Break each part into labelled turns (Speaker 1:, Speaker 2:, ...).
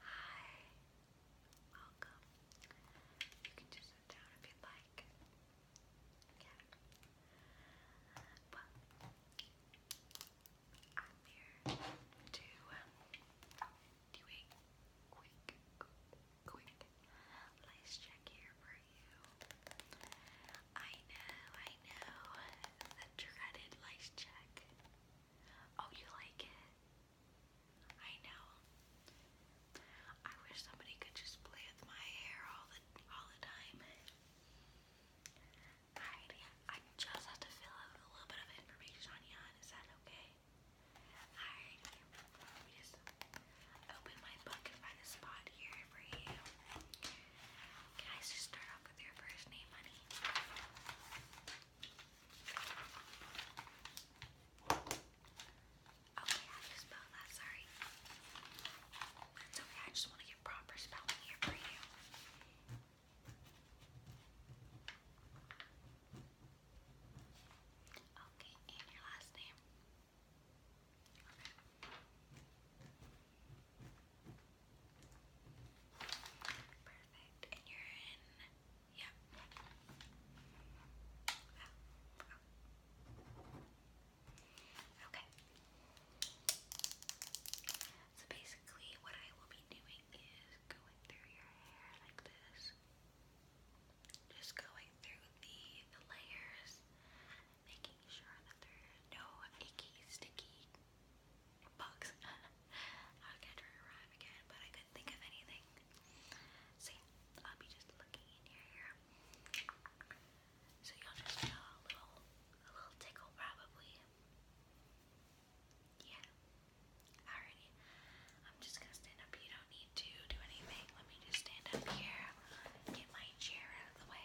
Speaker 1: Hi, welcome. You can just sit down if you'd like. Yeah. Well, I'm here to do a quick, quick place check here for you. I know, I know, the dreaded lice check. Oh, you like it? I know. I wish somebody could just play with my hair all the all the time. Alright, I just have to fill out a little bit of information on you. Is that okay? Alright, let me just open my book and find a spot here for you. Can I just start off your first name, honey? Okay, how do spell that? Sorry. It's okay, I just want to get proper spelling here for you. Okay, and your last name? Perfect. And you're in. Yep. Okay. So basically, what I will be doing is going through your hair like this. Just going through the, the layers making sure that there no sticky bugs. I was gonna again, but I couldn't think of anything. So I'll be just looking in your So you'll just feel a little, a little tickle probably. Yeah. Alrighty. I'm just gonna stand up. You don't need to do anything. Let me just stand up here. Get my chair out of the way.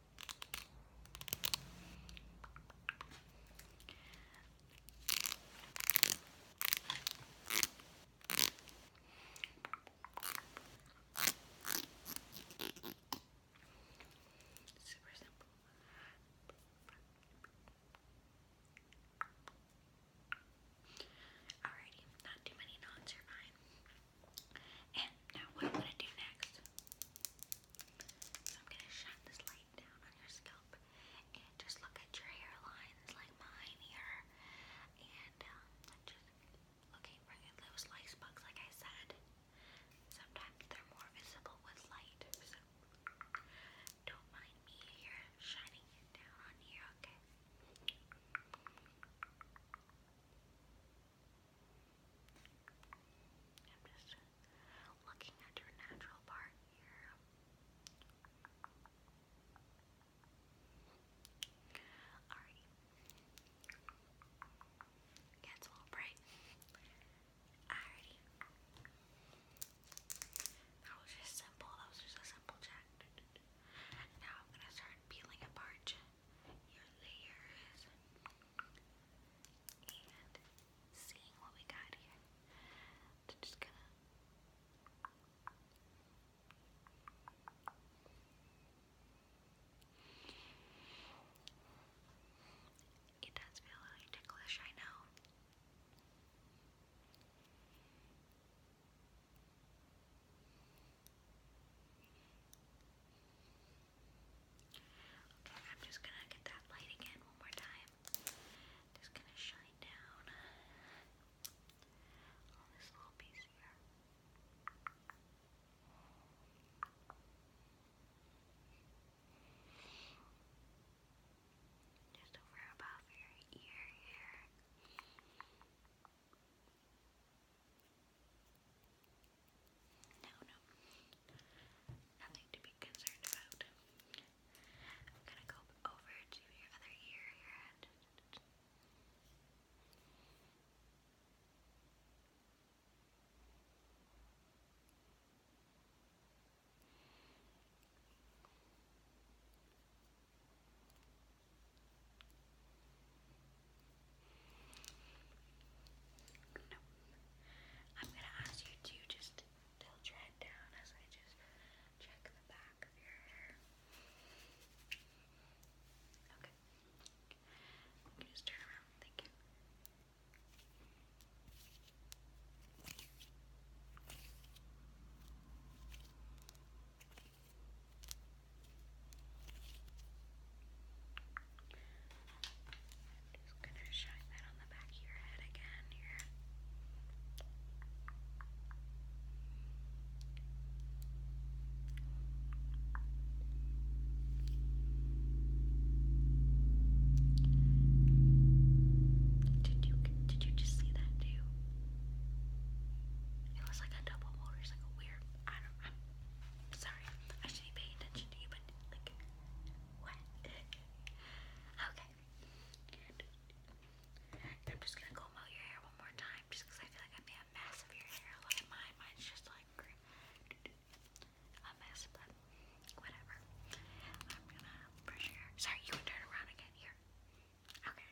Speaker 1: Super simple. Alrighty, not too many knots are fine. And now what i gonna do next so I'm gonna shine this light down on your scalp and just look at your hairlines like mine here. And um, just looking for those light spots like I said. Sometimes they're more visible with light. So don't mind me here shining it down on you, Okay, I'm just looking at your natural part here. Alright. Yeah, it's a little bright. Alrighty. That was just simple. That was just a simple check. Now I'm gonna start peeling apart your layers and seeing what we got here. So just gonna it does feel really ticklish, I know. Okay, I'm just gonna get that light again one more time. Just gonna shine down on this little piece here. Just over above your ear here. No, no. Nothing to be concerned about. I'm gonna go over to your other ear, your head. I'm gonna ask you to just tilt your head down as I just check the back of your hair. Okay. You just turn around. Thank you i just going to shine that on the back of your head again here. Did you did you just see that too? It was like a double weird. I don't. I'm sorry. I should be paying attention to you, but like, what? okay. I'm just gonna comb out your hair one more time, just I feel like I made a mess of your hair. Look at mine. Mine's just like a mess, but whatever. I'm gonna brush your hair. Sorry, you can turn around again here. Okay.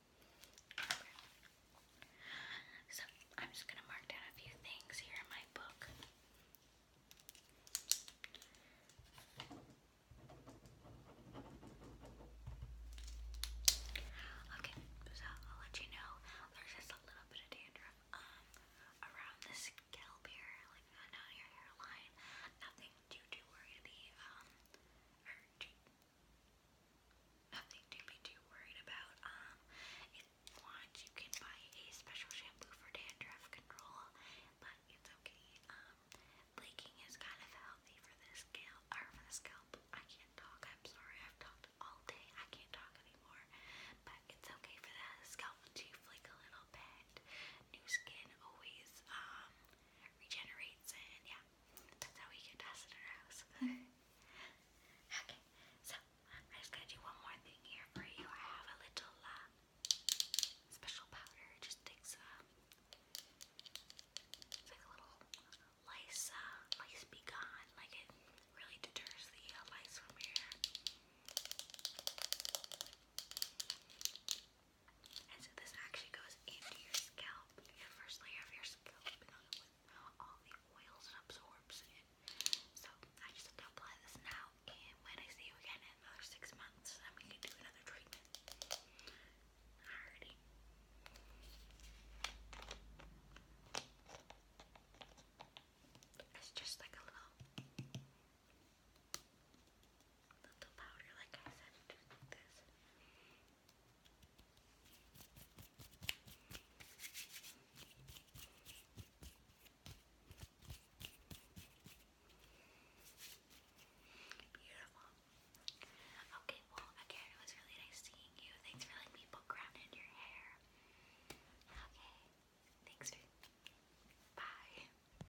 Speaker 1: Okay. So I'm just gonna mark down a few things here in my book. Okay, so I'll let you know there's just a little bit of dandruff um, around the scalp here, like uh, not your hairline. Nothing too too worried um, nothing to be too worried about. Um, if you you can buy a special shampoo for dandruff control, but it's okay. Um, Bleaking is kind of healthy for the scalp, for the scalp. I can't talk. I'm sorry. I've talked all day. I can't talk anymore. But it's okay for the scalp to flake a little bit. New skin always um regenerates, and yeah, that's how we get dust in our house. okay, so I'm just gonna do one more thing here for you. I have a little um, special powder. It just takes um, a little lice, uh, lice be gone. Like it really deters the uh, lice from your hair. And so this actually goes into your scalp, your first layer of your scalp, you all the oils it absorbs So I just apply this now, and when I see you again in another six months, then we can do another treatment. It's just like a little little Beautiful. Okay, well, again, it was really nice seeing you. Thanks for letting me poke in your hair. Okay, thanks Bye.